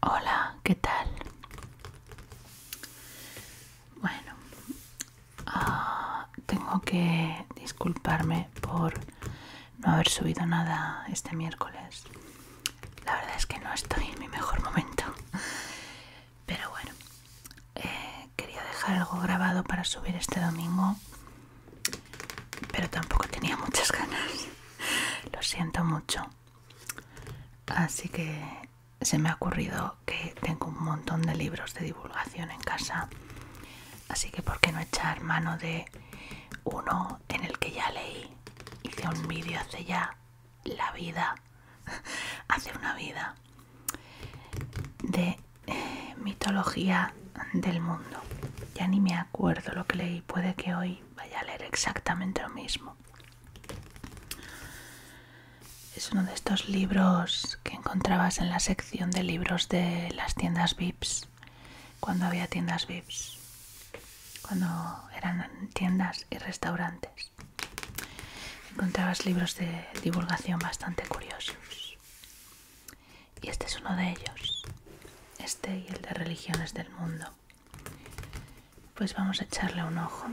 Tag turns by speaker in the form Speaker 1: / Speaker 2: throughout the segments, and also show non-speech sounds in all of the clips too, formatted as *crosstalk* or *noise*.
Speaker 1: Hola, ¿qué tal? Bueno, ah, tengo que disculparme por no haber subido nada este miércoles. La verdad es que no estoy en mi mejor momento. Pero bueno, eh, quería dejar algo grabado para subir este domingo. Pero tampoco tenía muchas ganas. Lo siento mucho. Así que se me ha ocurrido que tengo un montón de libros de divulgación en casa. Así que, ¿por qué no echar mano de uno en el que ya leí, hice un vídeo hace ya la vida, *laughs* hace una vida, de eh, mitología del mundo. Ya ni me acuerdo lo que leí, puede que hoy vaya a leer exactamente lo mismo. Es uno de estos libros que encontrabas en la sección de libros de las tiendas VIPs cuando había tiendas VIPs, cuando eran tiendas y restaurantes. Encontrabas libros de divulgación bastante curiosos. Y este es uno de ellos, este y el de religiones del mundo. Pues vamos a echarle un ojo.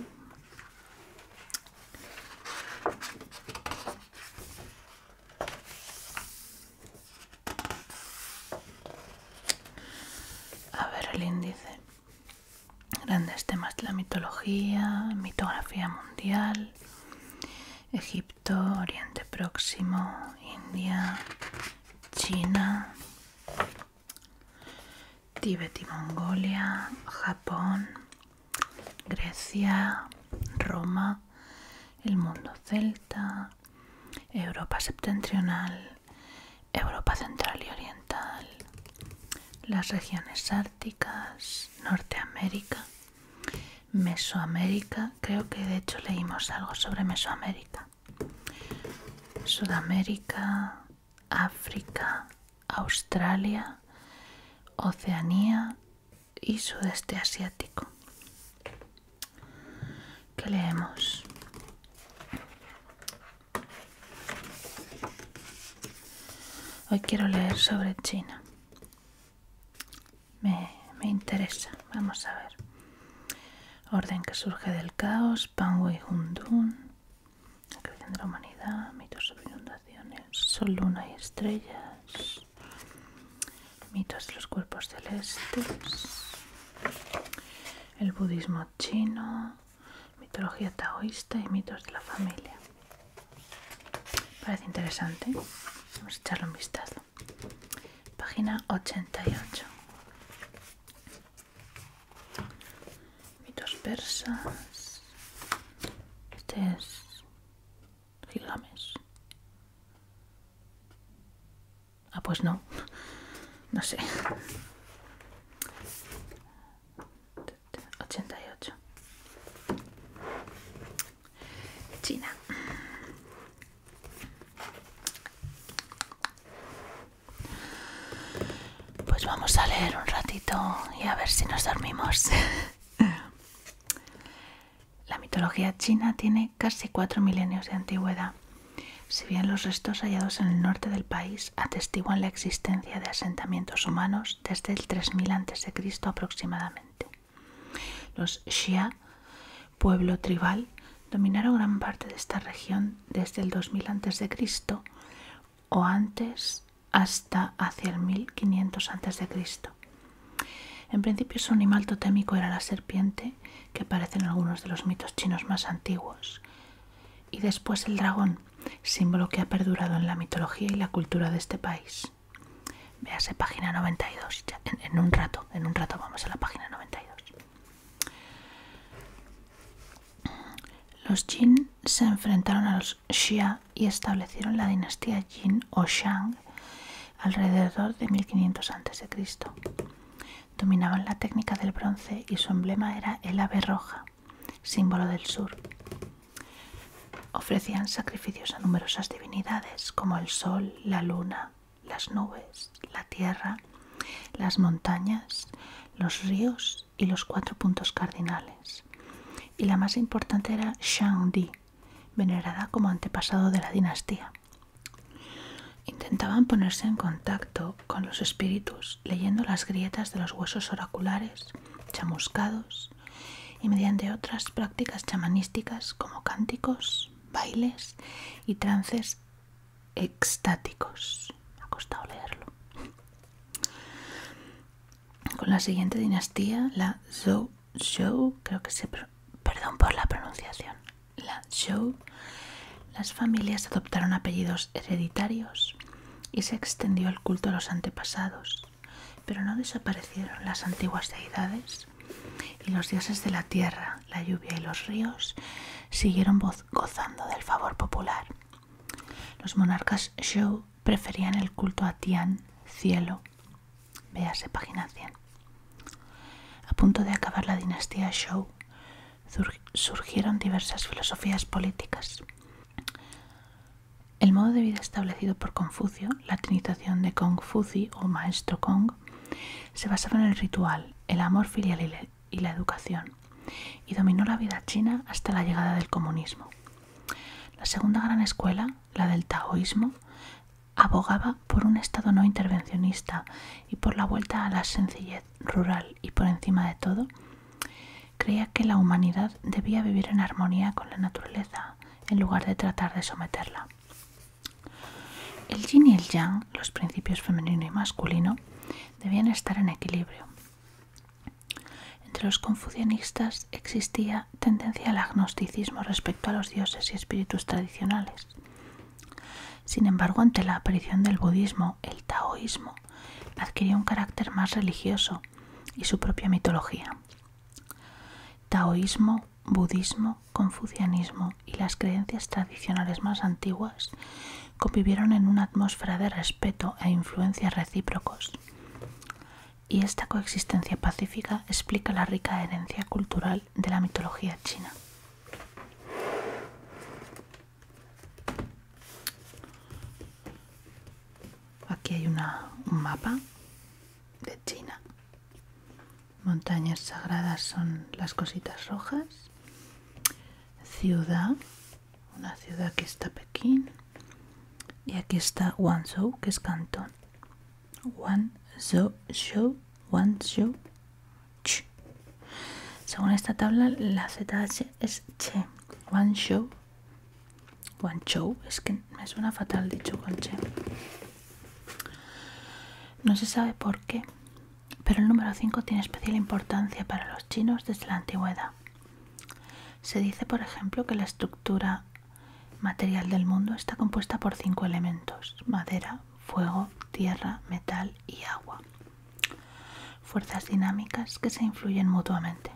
Speaker 1: A ver el índice. Grandes temas la mitología, mitografía mundial, Egipto, Oriente Próximo, India, China, Tíbet y Mongolia, Japón, Grecia, Roma, el mundo celta, Europa septentrional, Europa central y oriental, las regiones árticas, Norteamérica, Mesoamérica, creo que de hecho leímos algo sobre Mesoamérica, Sudamérica, África, Australia, Oceanía y Sudeste Asiático. ¿Qué leemos? Hoy quiero leer sobre China. Me, interesa. Vamos a ver. Orden que surge del caos, Pan y Hundun, la creación de la humanidad, mitos sobre inundaciones, sol, luna y estrellas, mitos de los cuerpos celestes, el budismo chino, mitología taoísta y mitos de la familia. Parece interesante. Vamos a echarle un vistazo. Página 88. Mitos persas. Este es Gilgamesh. Ah, pues no. No sé. 88. China. Pues vamos a leer un ratito y a ver si nos dormimos. *laughs* La mitología china tiene casi cuatro milenios de antigüedad, si bien los restos hallados en el norte del país atestiguan la existencia de asentamientos humanos desde el 3000 a.C. aproximadamente. Los Shia, pueblo tribal, dominaron gran parte de esta región desde el 2000 a.C. o antes hasta hacia el 1500 a.C. En principio su animal totémico era la serpiente que aparecen algunos de los mitos chinos más antiguos. Y después el dragón, símbolo que ha perdurado en la mitología y la cultura de este país. Véase página 92, en, un rato, en un rato vamos a la página 92. Los Jin se enfrentaron a los Xia y establecieron la dinastía Jin o Shang alrededor de 1500 a.C dominaban la técnica del bronce y su emblema era el ave roja, símbolo del sur. Ofrecían sacrificios a numerosas divinidades como el sol, la luna, las nubes, la tierra, las montañas, los ríos y los cuatro puntos cardinales. Y la más importante era Shang venerada como antepasado de la dinastía. Intentaban ponerse en contacto con los espíritus leyendo las grietas de los huesos oraculares, chamuscados y mediante otras prácticas chamanísticas como cánticos, bailes y trances extáticos. Me ha costado leerlo. Con la siguiente dinastía, la Zhou Zhou, creo que se... Perdón por la pronunciación. Lanzhou, las familias adoptaron apellidos hereditarios y se extendió el culto a los antepasados, pero no desaparecieron las antiguas deidades y los dioses de la tierra, la lluvia y los ríos siguieron gozando del favor popular. Los monarcas Zhou preferían el culto a Tian, cielo. Véase página 100. A punto de acabar la dinastía Zhou, surgieron diversas filosofías políticas. El modo de vida establecido por Confucio, la trinitación de Kong Fuzi o Maestro Kong, se basaba en el ritual, el amor filial y la educación, y dominó la vida china hasta la llegada del comunismo. La segunda gran escuela, la del taoísmo, abogaba por un Estado no intervencionista y por la vuelta a la sencillez rural y por encima de todo, creía que la humanidad debía vivir en armonía con la naturaleza en lugar de tratar de someterla. El yin y el yang, los principios femenino y masculino, debían estar en equilibrio. Entre los confucianistas existía tendencia al agnosticismo respecto a los dioses y espíritus tradicionales. Sin embargo, ante la aparición del budismo, el taoísmo adquirió un carácter más religioso y su propia mitología. Taoísmo, budismo, confucianismo y las creencias tradicionales más antiguas convivieron en una atmósfera de respeto e influencias recíprocos. Y esta coexistencia pacífica explica la rica herencia cultural de la mitología china. Aquí hay un mapa de China. Montañas sagradas son las cositas rojas. Ciudad, una ciudad que está Pekín. Y aquí está Guangzhou, que es Cantón. Guangzhou, Guangzhou, según esta tabla, la ZH es che. One show. One show. Es que me suena fatal dicho con che. No se sabe por qué, pero el número 5 tiene especial importancia para los chinos desde la antigüedad. Se dice, por ejemplo, que la estructura material del mundo está compuesta por cinco elementos, madera, fuego, tierra, metal y agua. Fuerzas dinámicas que se influyen mutuamente.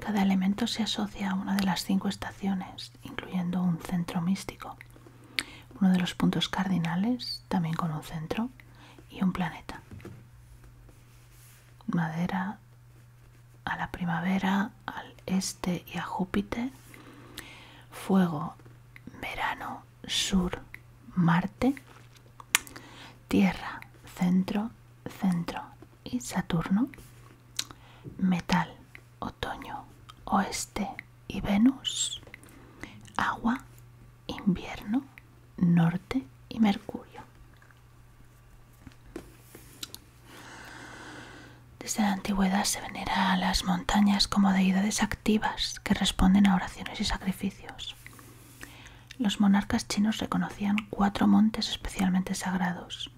Speaker 1: Cada elemento se asocia a una de las cinco estaciones, incluyendo un centro místico, uno de los puntos cardinales, también con un centro, y un planeta. Madera a la primavera, al este y a Júpiter. Fuego verano, sur, Marte, tierra, centro, centro y Saturno, metal, otoño, oeste y Venus, agua, invierno, norte y Mercurio. Desde la antigüedad se venera a las montañas como deidades activas que responden a oraciones y sacrificios. Los monarcas chinos reconocían cuatro montes especialmente sagrados: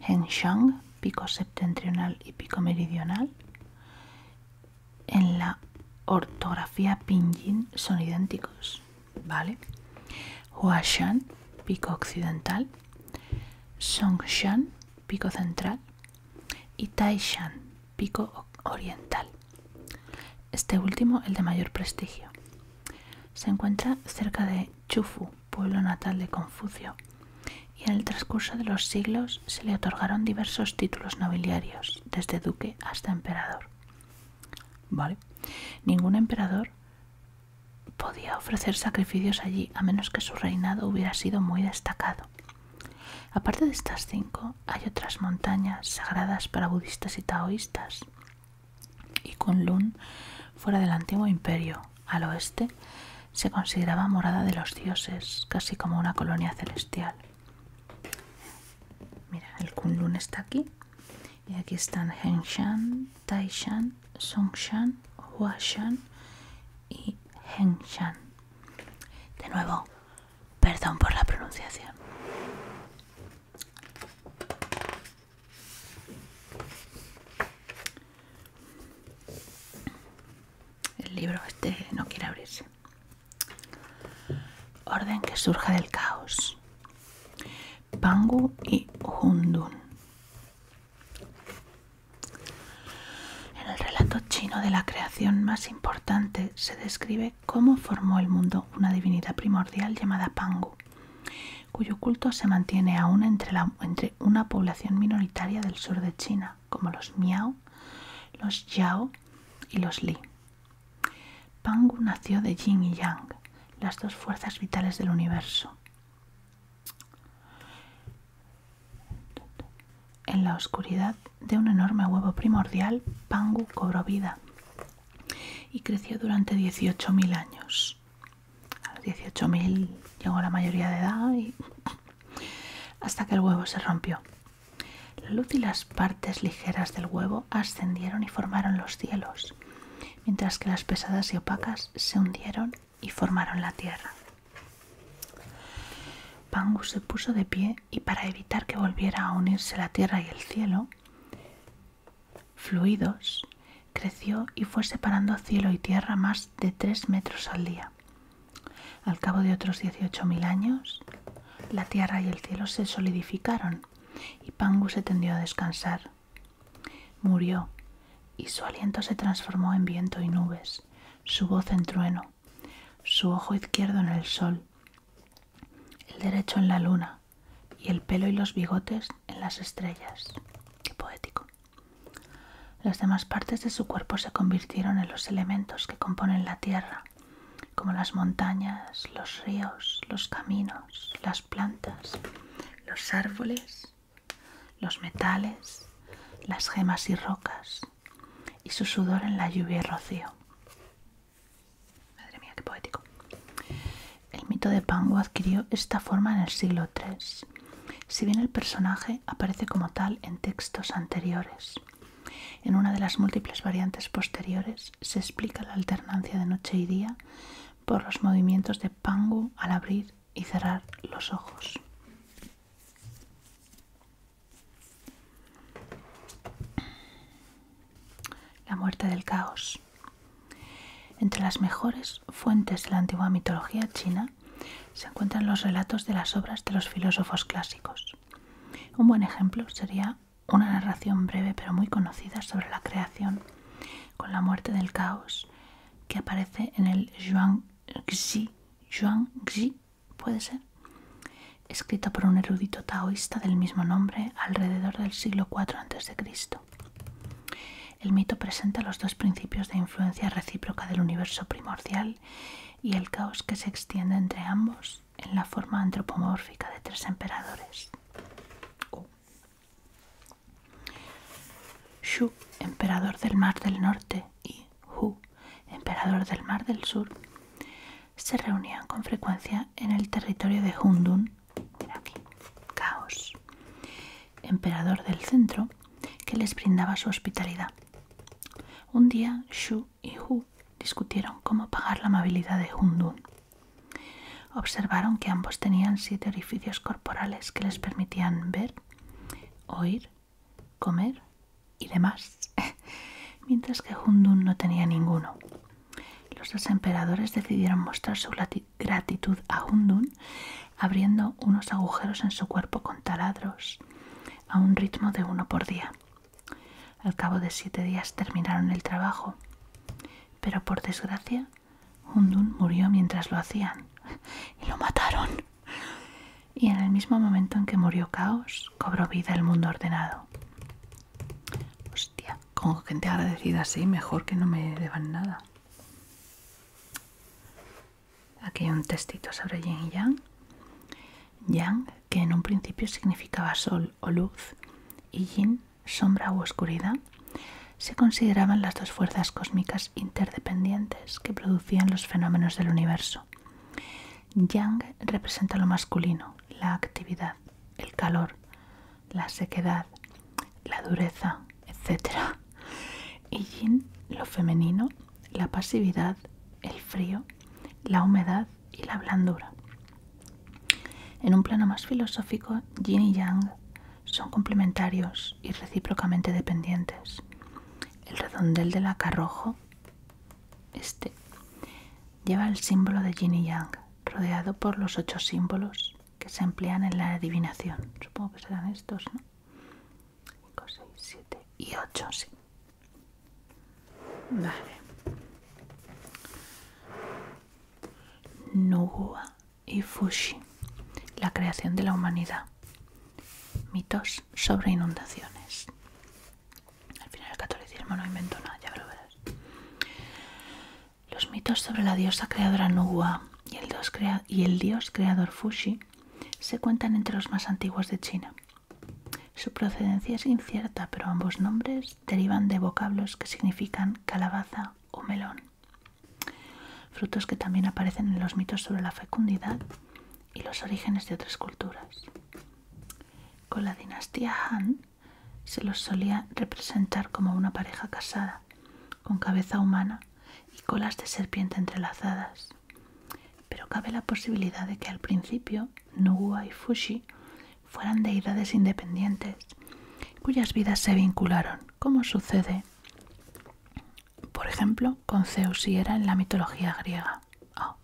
Speaker 1: Hengshan, pico septentrional y pico meridional. En la ortografía pinyin son idénticos, ¿vale? Huashan, pico occidental, Songshan, pico central y Taishan, pico oriental. Este último el de mayor prestigio. Se encuentra cerca de Chufu, pueblo natal de Confucio, y en el transcurso de los siglos se le otorgaron diversos títulos nobiliarios, desde duque hasta emperador. Vale. Ningún emperador podía ofrecer sacrificios allí a menos que su reinado hubiera sido muy destacado. Aparte de estas cinco, hay otras montañas sagradas para budistas y taoístas. Y Kunlun, fuera del antiguo imperio, al oeste, se consideraba morada de los dioses, casi como una colonia celestial. Mira, el Kunlun está aquí. Y aquí están Hengshan, Taishan, Songshan, Huashan y Hengshan. De nuevo, perdón por la pronunciación. El libro este no quiere abrirse. Orden que surja del caos. Pangu y Hundun. En el relato chino de la creación más importante se describe cómo formó el mundo una divinidad primordial llamada Pangu, cuyo culto se mantiene aún entre, una población minoritaria del sur de China, como los Miao, los Yao y los Li. Pangu nació de Yin y Yang, las dos fuerzas vitales del universo. En la oscuridad de un enorme huevo primordial, Pangu cobró vida y creció durante 18.000 años. A los 18.000 llegó la mayoría de edad y *laughs* hasta que el huevo se rompió. La luz y las partes ligeras del huevo ascendieron y formaron los cielos, mientras que las pesadas y opacas se hundieron y formaron la tierra. Pangu se puso de pie y para evitar que volviera a unirse la tierra y el cielo, fluidos, creció y fue separando cielo y tierra más de tres metros al día. Al cabo de otros 18.000 años, la tierra y el cielo se solidificaron y Pangu se tendió a descansar. Murió y su aliento se transformó en viento y nubes, su voz en trueno, su ojo izquierdo en el sol, el derecho en la luna y el pelo y los bigotes en las estrellas. poético. Las demás partes de su cuerpo se convirtieron en los elementos que componen la tierra, como las montañas, los ríos, los caminos, las plantas, los árboles, los metales, las gemas y rocas, y su sudor en la lluvia rocío. Madre mía, qué poético. El mito de Pangu adquirió esta forma en el siglo III, si bien el personaje aparece como tal en textos anteriores. En una de las múltiples variantes posteriores se explica la alternancia de noche y día por los movimientos de Pangu al abrir y cerrar los ojos. La muerte del caos. Entre las mejores fuentes de la antigua mitología china se encuentran los relatos de las obras de los filósofos clásicos. Un buen ejemplo sería una narración breve pero muy conocida sobre la creación con la muerte del caos que aparece en el Zhuangzi, puede ser, escrito por un erudito taoísta del mismo nombre alrededor del siglo IV a.C. El mito presenta los dos principios de influencia recíproca del universo primordial y el caos que se extiende entre ambos en la forma antropomórfica de tres emperadores. Oh. Shu, emperador del Mar del Norte, y Hu, emperador del Mar del Sur, se reunían con frecuencia en el territorio de Hundun, emperador del centro, que les brindaba su hospitalidad. Un día Shu y Hu discutieron cómo pagar la amabilidad de Hundun. Observaron que ambos tenían siete orificios corporales que les permitían ver, oír, comer y demás, *laughs* mientras que Hundun no tenía ninguno. Los dos emperadores decidieron mostrar su gratitud a Hundun abriendo unos agujeros en su cuerpo con taladros a un ritmo de uno por día. Al cabo de siete días terminaron el trabajo, pero por desgracia Hundun murió mientras lo hacían *laughs* y lo mataron y en el mismo momento en que murió Caos, cobró vida el mundo ordenado. Hostia, con gente agradecida así, mejor que no me deban nada. Aquí hay un textito sobre Yin y Yang. Yang, que en un principio significaba sol o luz, y Yin, sombra u oscuridad, se consideraban las dos fuerzas cósmicas interdependientes que producían los fenómenos del universo. Yang representa lo masculino, la actividad, el calor, la sequedad, la dureza, etc. Y Yin, lo femenino, la pasividad, el frío, la humedad y la blandura. En un plano más filosófico, Yin y Yang son complementarios y recíprocamente dependientes. El redondel del acarrojo este lleva el símbolo de Yin y Yang, rodeado por los ocho símbolos que se emplean en la adivinación. Supongo que serán estos, ¿no? 5, 6, 7 y 8, sí. Vale. Nuguwa y Fushi, la creación de la humanidad mitos sobre inundaciones. Al final el catolicismo no inventó nada, ya lo verás. Los mitos sobre la diosa creadora Nuwa y el, dios y el creador Fushi se cuentan entre los más antiguos de China. Su procedencia es incierta, pero ambos nombres derivan de vocablos que significan calabaza o melón, frutos que también aparecen en los mitos sobre la fecundidad y los orígenes de otras culturas. Con la dinastía Han se los solía representar como una pareja casada, con cabeza humana y colas de serpiente entrelazadas. Pero cabe la posibilidad de que al principio Nüwa y Fushi fueran deidades independientes, cuyas vidas se vincularon, como sucede por ejemplo, con Zeus y era en la mitología griega. Ah.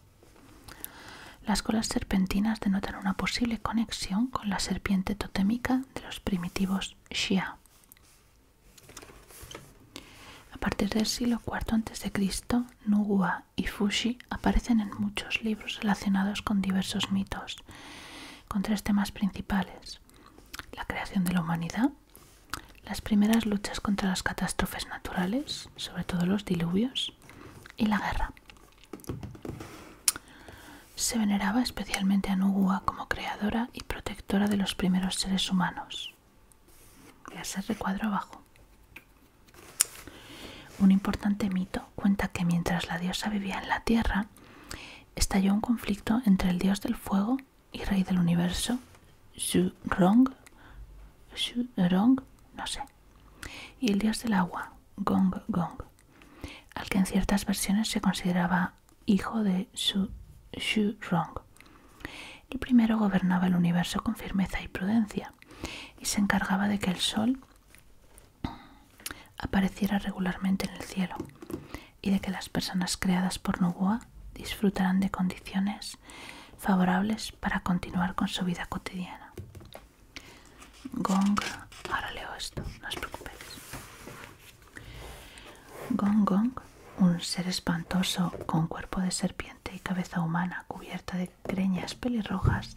Speaker 1: Las colas serpentinas denotan una posible conexión con la serpiente totémica de los primitivos Shia. A partir del siglo IV a.C., Nugua y Fushi aparecen en muchos libros relacionados con diversos mitos, con tres temas principales: la creación de la humanidad, las primeras luchas contra las catástrofes naturales, sobre todo los diluvios, y la guerra. Se veneraba especialmente a Nugua como creadora y protectora de los primeros seres humanos. Voy a abajo. Un importante mito cuenta que mientras la diosa vivía en la tierra, estalló un conflicto entre el dios del fuego y rey del universo, Xu Rong, no sé. Y el dios del agua, Gong Gong, al que en ciertas versiones se consideraba hijo de Xu Shu el primero gobernaba el universo con firmeza y prudencia y se encargaba de que el sol apareciera regularmente en el cielo y de que las personas creadas por Nuboa disfrutaran de condiciones favorables para continuar con su vida cotidiana. Gong, ahora leo esto, no os preocupéis. Gong Gong, un ser espantoso con cuerpo de serpiente y cabeza humana cubierta de creñas pelirrojas,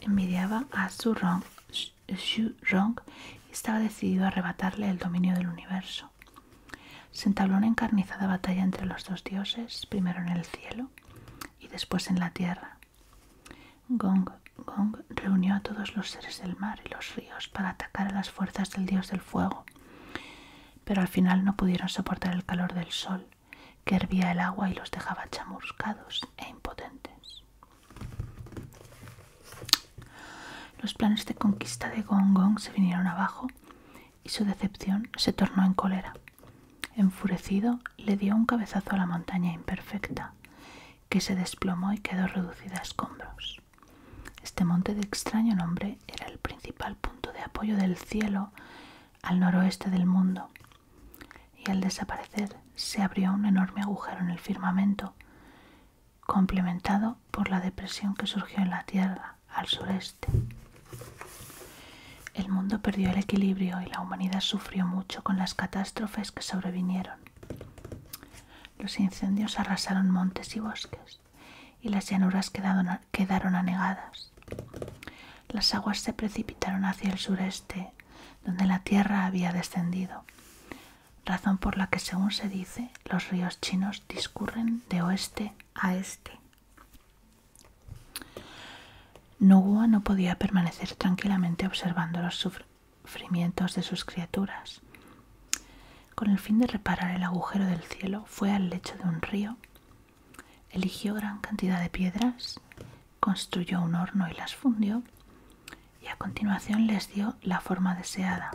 Speaker 1: envidiaba a Zhu Rong y estaba decidido a arrebatarle el dominio del universo. Se entabló una encarnizada batalla entre los dos dioses, primero en el cielo y después en la tierra. Gong Gong reunió a todos los seres del mar y los ríos para atacar a las fuerzas del dios del fuego, pero al final no pudieron soportar el calor del sol, que hervía el agua y los dejaba chamuscados e impotentes. Los planes de conquista de Gong Gong se vinieron abajo y su decepción se tornó en cólera. Enfurecido, le dio un cabezazo a la montaña imperfecta, que se desplomó y quedó reducida a escombros. Este monte de extraño nombre era el principal punto de apoyo del cielo al noroeste del mundo, y al desaparecer se abrió un enorme agujero en el firmamento, complementado por la depresión que surgió en la Tierra al sureste. Este. El mundo perdió el equilibrio y la humanidad sufrió mucho con las catástrofes que sobrevinieron. Los incendios arrasaron montes y bosques y las llanuras quedaron, quedaron anegadas. Las aguas se precipitaron hacia el sureste, donde la tierra había descendido, razón por la que, según se dice, los ríos chinos discurren de oeste a este. no podía permanecer tranquilamente observando los sufrimientos de sus criaturas. Con el fin de reparar el agujero del cielo, fue al lecho de un río, eligió gran cantidad de piedras, construyó un horno y las fundió, y a continuación les dio la forma deseada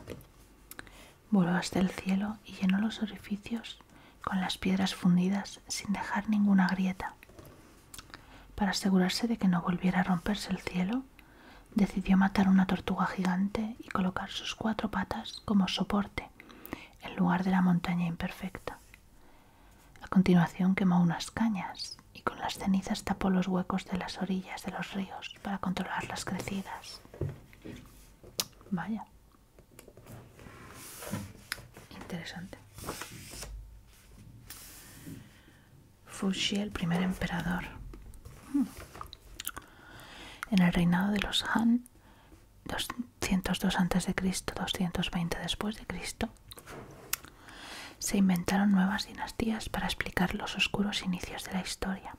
Speaker 1: voló hasta el cielo y llenó los orificios con las piedras fundidas sin dejar ninguna grieta. Para asegurarse de que no volviera a romperse el cielo, decidió matar una tortuga gigante y colocar sus cuatro patas como soporte en lugar de la montaña imperfecta. A continuación quemó unas cañas y con las cenizas tapó los huecos de las orillas de los ríos para controlar las crecidas. Vaya, Interesante. Fushi, el primer emperador. Hmm. En el reinado de los Han, 202 a.C., 220 después de Cristo, se inventaron nuevas dinastías para explicar los oscuros inicios de la historia.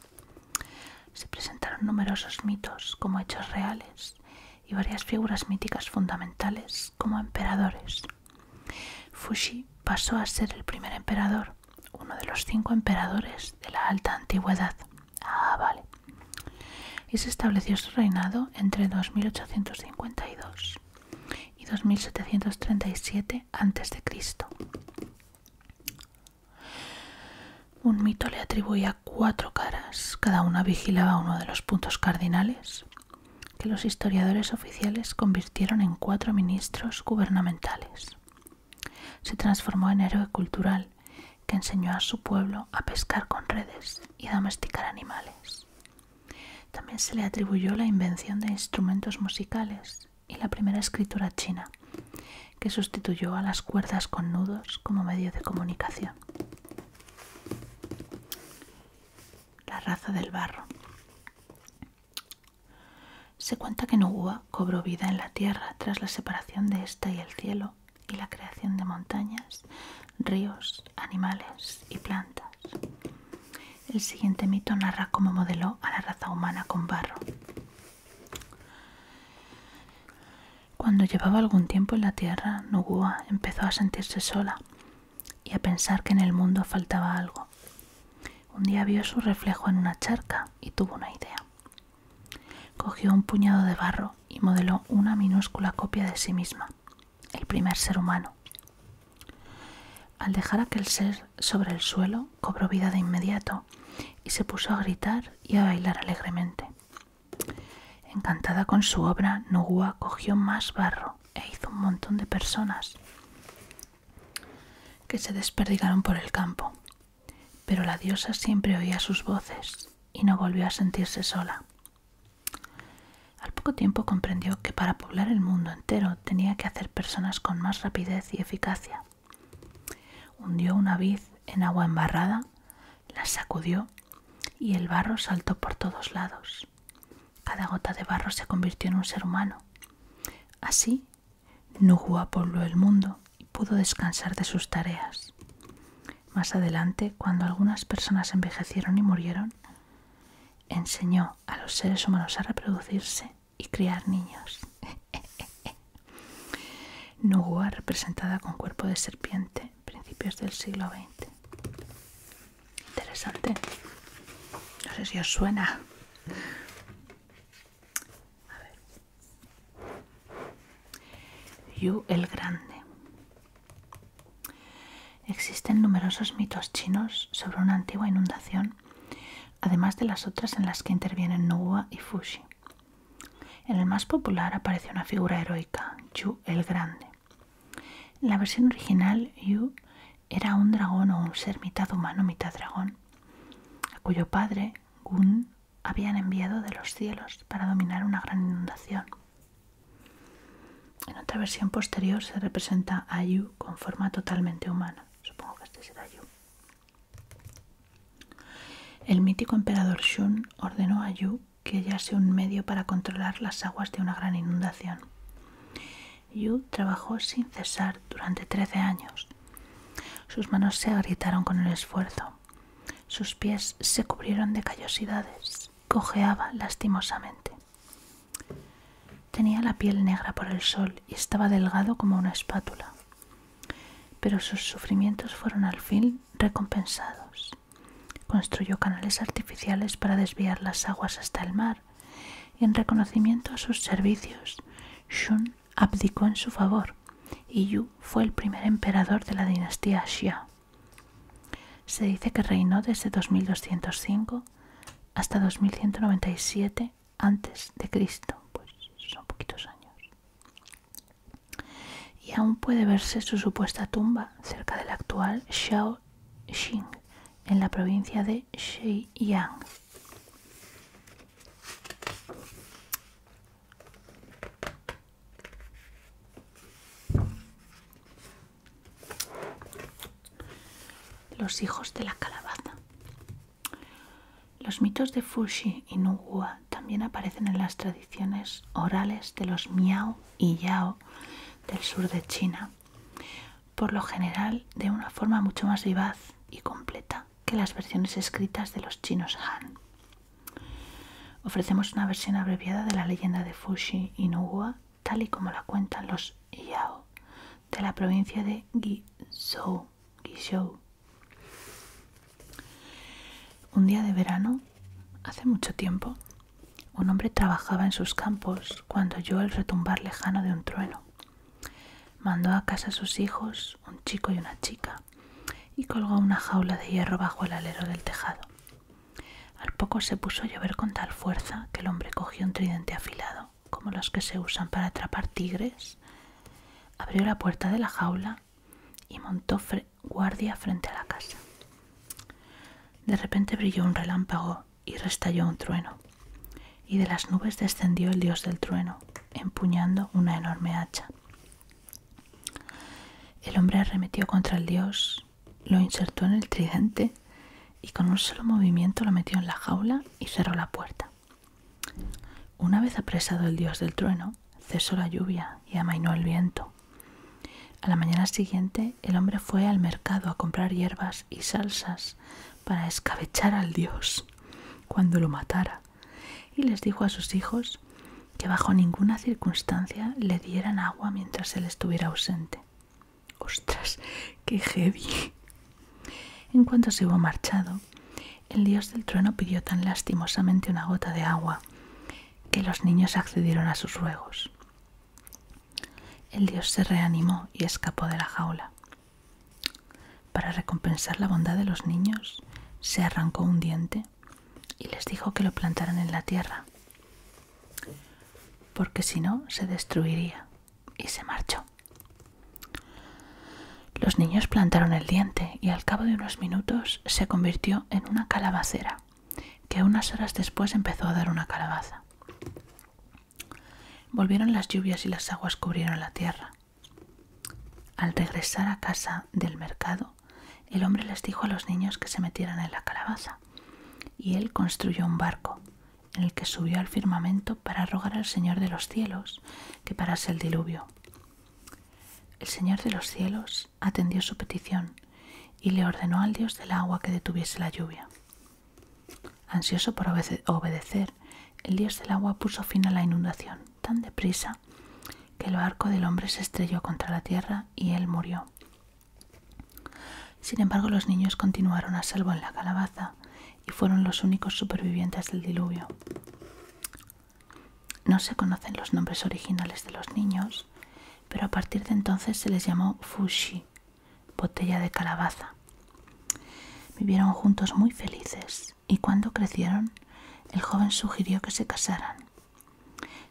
Speaker 1: Se presentaron numerosos mitos como hechos reales y varias figuras míticas fundamentales como emperadores. Fushi pasó a ser el primer emperador, uno de los cinco emperadores de la alta antigüedad. Ah, vale. Y se estableció su reinado entre 2852 y 2737 a.C. Un mito le atribuía cuatro caras, cada una vigilaba uno de los puntos cardinales, que los historiadores oficiales convirtieron en cuatro ministros gubernamentales. Se transformó en héroe cultural que enseñó a su pueblo a pescar con redes y a domesticar animales. También se le atribuyó la invención de instrumentos musicales y la primera escritura china, que sustituyó a las cuerdas con nudos como medio de comunicación. La raza del barro. Se cuenta que Nugua cobró vida en la tierra tras la separación de ésta y el cielo y la creación de montañas, ríos, animales y plantas. El siguiente mito narra cómo modeló a la raza humana con barro. Cuando llevaba algún tiempo en la tierra, Nogua empezó a sentirse sola y a pensar que en el mundo faltaba algo. Un día vio su reflejo en una charca y tuvo una idea. Cogió un puñado de barro y modeló una minúscula copia de sí misma, el primer ser humano. Al dejar aquel ser sobre el suelo, cobró vida de inmediato y se puso a gritar y a bailar alegremente. Encantada con su obra, Noguá cogió más barro e hizo un montón de personas que se desperdigaron por el campo. Pero la diosa siempre oía sus voces y no volvió a sentirse sola. Al poco tiempo comprendió que para poblar el mundo entero tenía que hacer personas con más rapidez y eficacia. Hundió una vid en agua embarrada, la sacudió y el barro saltó por todos lados. Cada gota de barro se convirtió en un ser humano. Así, Nuhua pobló el mundo y pudo descansar de sus tareas. Más adelante, cuando algunas personas envejecieron y murieron, enseñó a los seres humanos a reproducirse y criar niños. *laughs* Nüwa representada con cuerpo de serpiente, principios del siglo XX. Interesante. No sé si os suena. Yu el Grande. Existen numerosos mitos chinos sobre una antigua inundación, además de las otras en las que intervienen Nüwa y Fushi. En el más popular aparece una figura heroica, Yu el Grande. En la versión original, Yu era un dragón o un ser mitad humano, mitad dragón, a cuyo padre, Gun, habían enviado de los cielos para dominar una gran inundación. En otra versión posterior se representa a Yu con forma totalmente humana. Supongo que este será Yu. El mítico emperador Shun ordenó a Yu que hallase un medio para controlar las aguas de una gran inundación. Yu trabajó sin cesar durante trece años. Sus manos se agrietaron con el esfuerzo. Sus pies se cubrieron de callosidades. Cojeaba lastimosamente. Tenía la piel negra por el sol y estaba delgado como una espátula. Pero sus sufrimientos fueron al fin recompensados. Construyó canales artificiales para desviar las aguas hasta el mar y en reconocimiento a sus servicios, Shun abdicó en su favor y Yu fue el primer emperador de la dinastía Xia. Se dice que reinó desde 2205 hasta 2197 antes de Cristo, pues son poquitos años y aún puede verse su supuesta tumba cerca de la actual Xing, en la provincia de Shenyang. Los hijos de la calabaza. Los mitos de Fushi y Nuwa también aparecen en las tradiciones orales de los Miao y Yao del sur de China, por lo general de una forma mucho más vivaz y completa que las versiones escritas de los chinos Han. Ofrecemos una versión abreviada de la leyenda de Fushi Inuwa, tal y como la cuentan los Yao de la provincia de Guizhou. Un día de verano, hace mucho tiempo, un hombre trabajaba en sus campos cuando oyó el retumbar lejano de un trueno. Mandó a casa a sus hijos, un chico y una chica, y colgó una jaula de hierro bajo el alero del tejado. Al poco se puso a llover con tal fuerza que el hombre cogió un tridente afilado, como los que se usan para atrapar tigres, abrió la puerta de la jaula y montó guardia frente a la casa. De repente brilló un relámpago y restalló un trueno, y de las nubes descendió el dios del trueno, empuñando una enorme hacha. El hombre arremetió contra el dios, lo insertó en el tridente y con un solo movimiento lo metió en la jaula y cerró la puerta. Una vez apresado el dios del trueno, cesó la lluvia y amainó el viento. A la mañana siguiente el hombre fue al mercado a comprar hierbas y salsas para escabechar al dios cuando lo matara y les dijo a sus hijos que bajo ninguna circunstancia le dieran agua mientras él estuviera ausente. ¡Ostras! ¡Qué heavy! En cuanto se hubo marchado, el dios del trueno pidió tan lastimosamente una gota de agua que los niños accedieron a sus ruegos. El dios se reanimó y escapó de la jaula. Para recompensar la bondad de los niños, se arrancó un diente y les dijo que lo plantaran en la tierra, porque si no se destruiría, y se marchó. Los niños plantaron el diente y al cabo de unos minutos se convirtió en una calabacera, que unas horas después empezó a dar una calabaza. Volvieron las lluvias y las aguas cubrieron la tierra. Al regresar a casa del mercado, el hombre les dijo a los niños que se metieran en la calabaza, y él construyó un barco, en el que subió al firmamento para rogar al Señor de los cielos que parase el diluvio. El Señor de los cielos atendió su petición y le ordenó al Dios del agua que detuviese la lluvia. Ansioso por obedecer, el Dios del agua puso fin a la inundación tan deprisa que el barco del hombre se estrelló contra la tierra y él murió. Sin embargo, los niños continuaron a salvo en la calabaza y fueron los únicos supervivientes del diluvio. No se conocen los nombres originales de los niños, pero a partir de entonces se les llamó Fushi, botella de calabaza. Vivieron juntos muy felices y cuando crecieron, el joven sugirió que se casaran.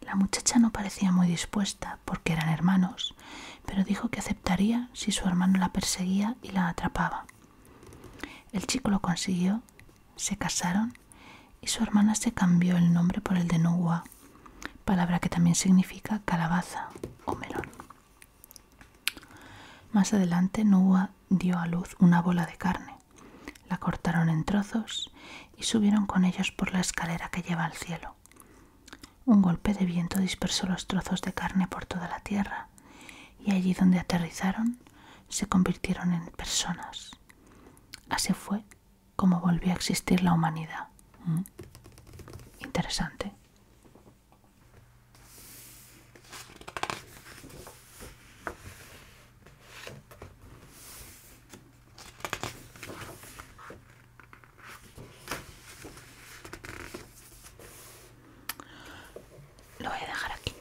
Speaker 1: La muchacha no parecía muy dispuesta porque eran hermanos, pero dijo que aceptaría si su hermano la perseguía y la atrapaba. El chico lo consiguió se casaron y su hermana se cambió el nombre por el de Nuwa, palabra que también significa calabaza o melón. Más adelante Nuwa dio a luz una bola de carne. La cortaron en trozos y subieron con ellos por la escalera que lleva al cielo. Un golpe de viento dispersó los trozos de carne por toda la tierra y allí donde aterrizaron se convirtieron en personas. Así fue como volvió a existir la humanidad. Mm. Interesante. Lo voy a dejar aquí.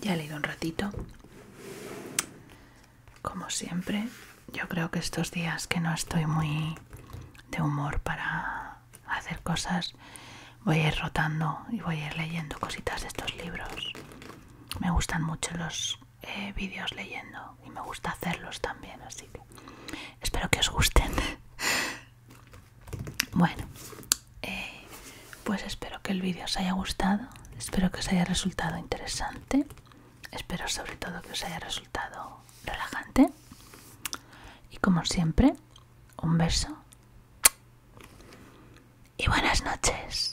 Speaker 1: Ya he leído un ratito como siempre, yo creo que estos días que no estoy muy de humor para hacer cosas, voy a ir rotando y voy a ir leyendo cositas de estos libros. Me gustan mucho los eh, vídeos leyendo y me gusta hacerlos también, así que espero que os gusten. *laughs* bueno, eh, pues espero que el vídeo os haya gustado espero que os haya resultado interesante espero sobre todo que os haya resultado relajante y como siempre un beso y buenas noches